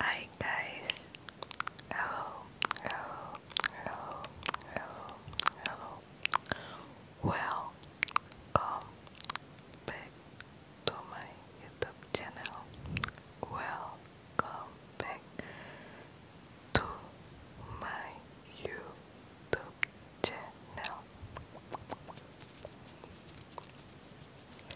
Hi guys. Hello. Hello. Hello. Hello. Hello. Welcome back to my YouTube channel. Welcome back to my YouTube channel.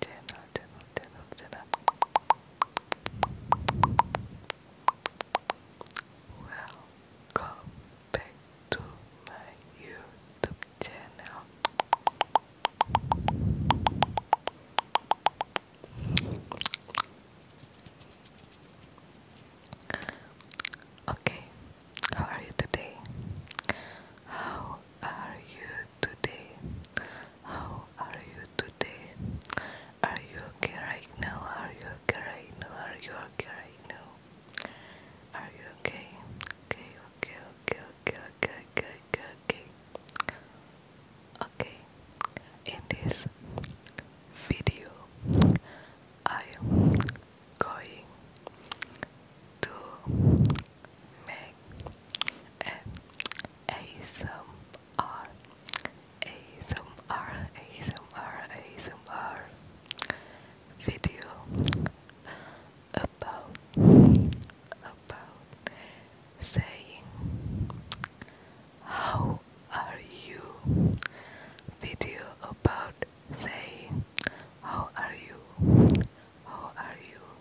Dinner, back to my YouTube channel. Okay, how are you today? How are you today? How are you today? Are you okay right now? Are you okay now? Are you okay now? Are you okay? Okay, okay, okay, okay, okay, okay, okay, okay. in this video, I am going to make an ASMR ASMR video about about saying how are you video about saying how are you how are you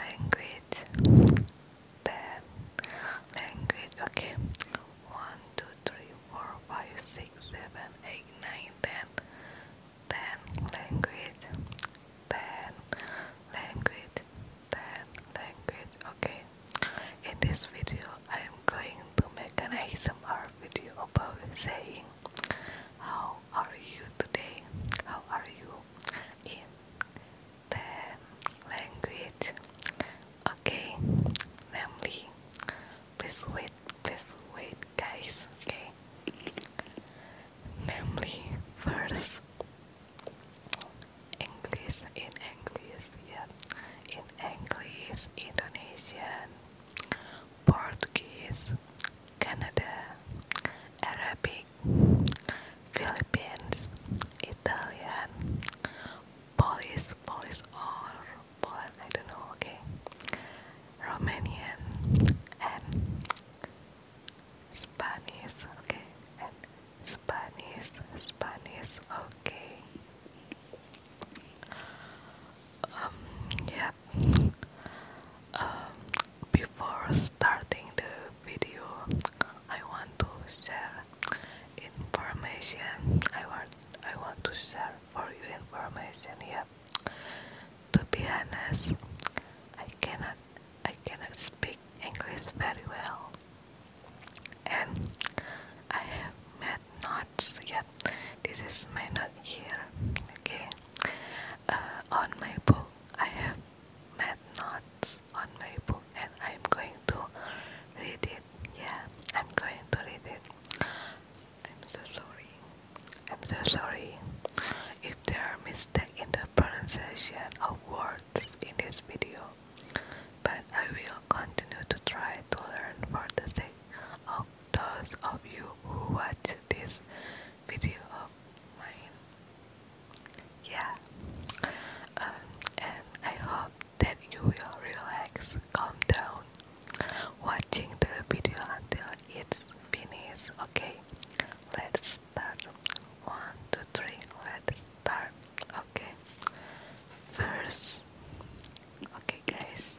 language then language okay 1 language 10 language 10 language okay in this video I am going to make an ASMR video about saying how how are you today? How are you in the language? Okay, namely, please wait, please wait, guys. Okay, namely, first English in English, yeah, in English, Indonesian, Portuguese. Canada, Arabic, Philippines, Italian, Polish, Polish or Poland, I don't know, okay, Romanian, and Spanish, okay, and Spanish, Spanish, okay. Um, yeah, uh, before starting the video I want to share information I want I want to share for you information here. to be honest I cannot I cannot speak English very well and I have made notes yet this is my not here okay uh, on my book I have mad notes on my book and I'm going to read it. Yeah, I'm going to read it. I'm so sorry. I'm so sorry if there are mistakes in the pronunciation of words in this video, but I will continue to try to learn for the sake of those of you who watch this video of mine. Yeah. Um, and I hope that you will relax, calm down, watching the video until it's finished. Okay, let's start. One, two, three. Let's start. Okay. First, okay, guys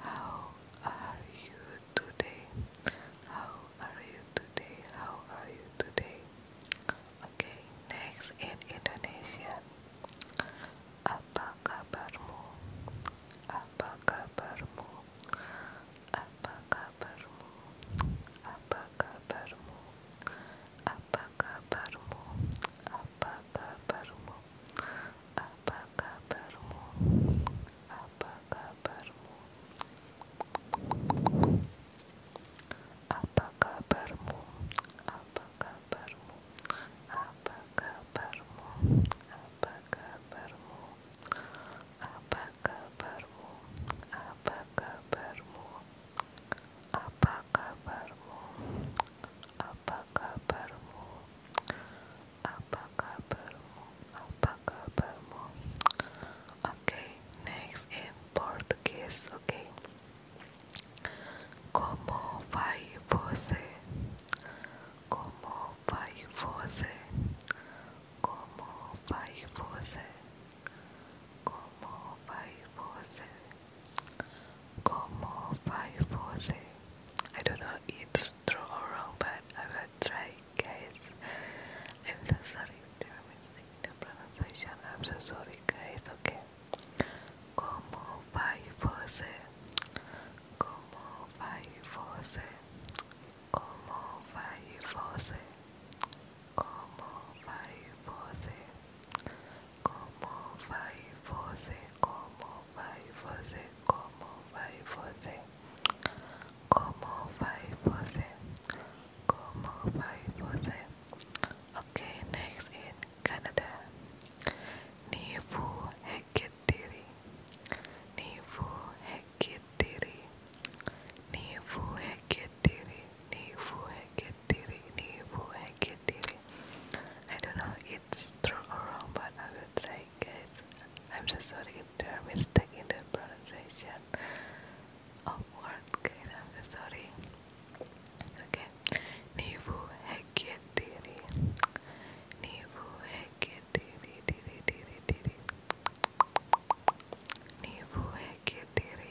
How are you today? How are you today? How are you today? Okay, next in Indonesian. Apa kabarmu? Apa kabarmu? Apa kabarmu? Apa kabarmu? Apa kabarmu? Apa kabarmu? Apa kabarmu? Apa kabarmu? Apa kabarmu? Apa kabarmu? Apa kabarmu? Apa kabarmu? Apa kabarmu? Apa kabarmu? Apa kabarmu? apa kabarmu apa kabarmu apa kabarmu okay next in Portuguese okay como vai você como vai você como vai você como vai você Como Faifose. I don't know if or wrong, but I will try, guys. I'm so sorry if there are mistakes in the pronunciation. I'm so sorry, guys. Okay. Como Faifose. Como Faifose. Como Faifose. Como Faifose. Como vai você? Como vai você? Como vai você? Como vai você? Como vai você? ok next in Canada. Nivu hekitiri. Nivu hekitiri. Nivu hekitiri. Nivu hekitiri. Nivu hekitiri. I don't know true or wrong, but I will try, guys. I'm so sorry if there are mistakes in the pronunciation of word, I'm so sorry. Okay. Nivu heke diri. Nivu heke diri diri diri diri. Nivu heke diri.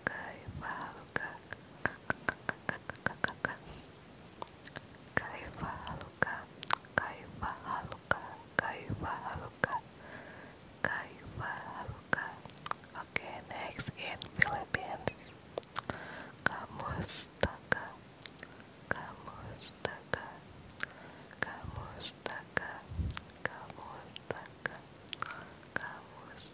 Caivaluca, Caivaluca, Caivaluca, Caivaluca, Caivaluca, Caivaluca. Okay, next in Philippines, Kamustaka, Kamustaka, Kamustaka, Kamustaka, Kamustaka.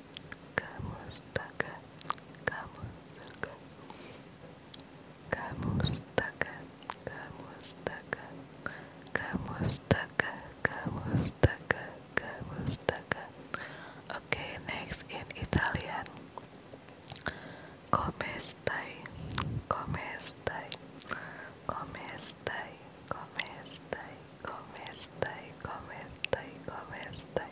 Kamustaka, Kamustaka, Kamustaka, Kamustaka, Kamustaka, Kamustaka, Kamustaka. Okay, next in Italian. Come stai? Come stai? Come stai? Come stai? Come stai? Come stai? Come stai?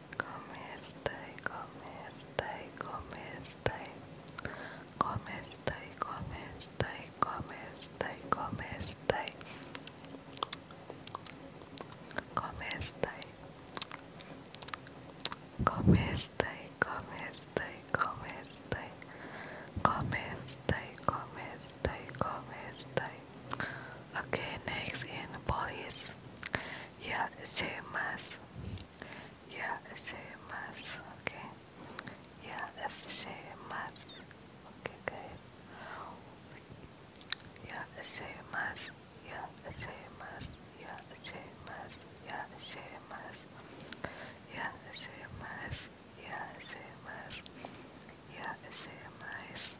Come stay, come stay, come stay. Come stay, come stay, come stay, come stay. Come stay. Come stay, come stay, come stay. Come stay, come stay, come stay. Okay, next in police yeah same as yeah same as okay yeah same as okay guys yeah same as yeah same as yeah same as yeah same as yeah same as yeah same as yeah same as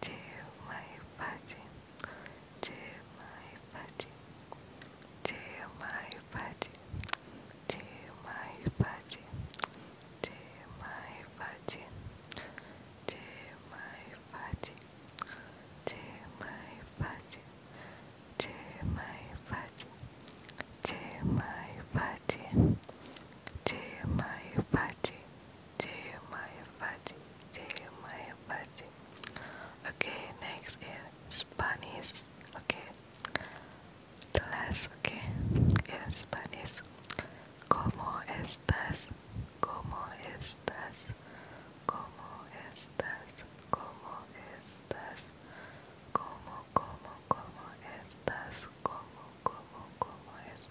to my vagin, to my vagin, to my vagin, to my vagin, to my vagin, to my vagin, to my vagin, to my vagin, to my vagin, to my vagin. Jaya Maya Fati, Jaya Maya Fati. Okay, next is Spanish. Okay, the okay, in Spanish. Como estas? Como estas? Como estas? Como estas? Como, como, como estas? Como, como, como estas?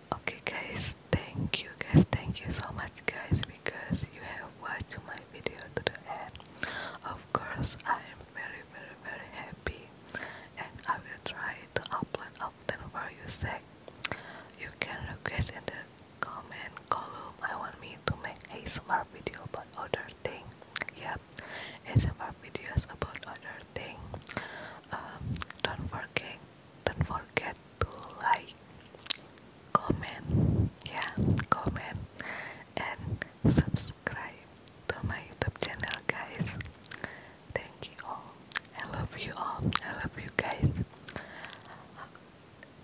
okay guys thank you guys thank you so much guys because you have watched my video to the end of course i am very very very happy and i will try to upload often for you sake you can request in the comment column i want me to make a smart video about other thing yep smart videos about other thing um, don't forget don't forget to like, comment, yeah, comment, and subscribe to my YouTube channel, guys. Thank you all. I love you all. I love you guys.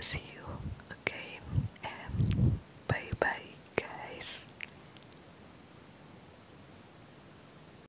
See you again, and bye bye, guys.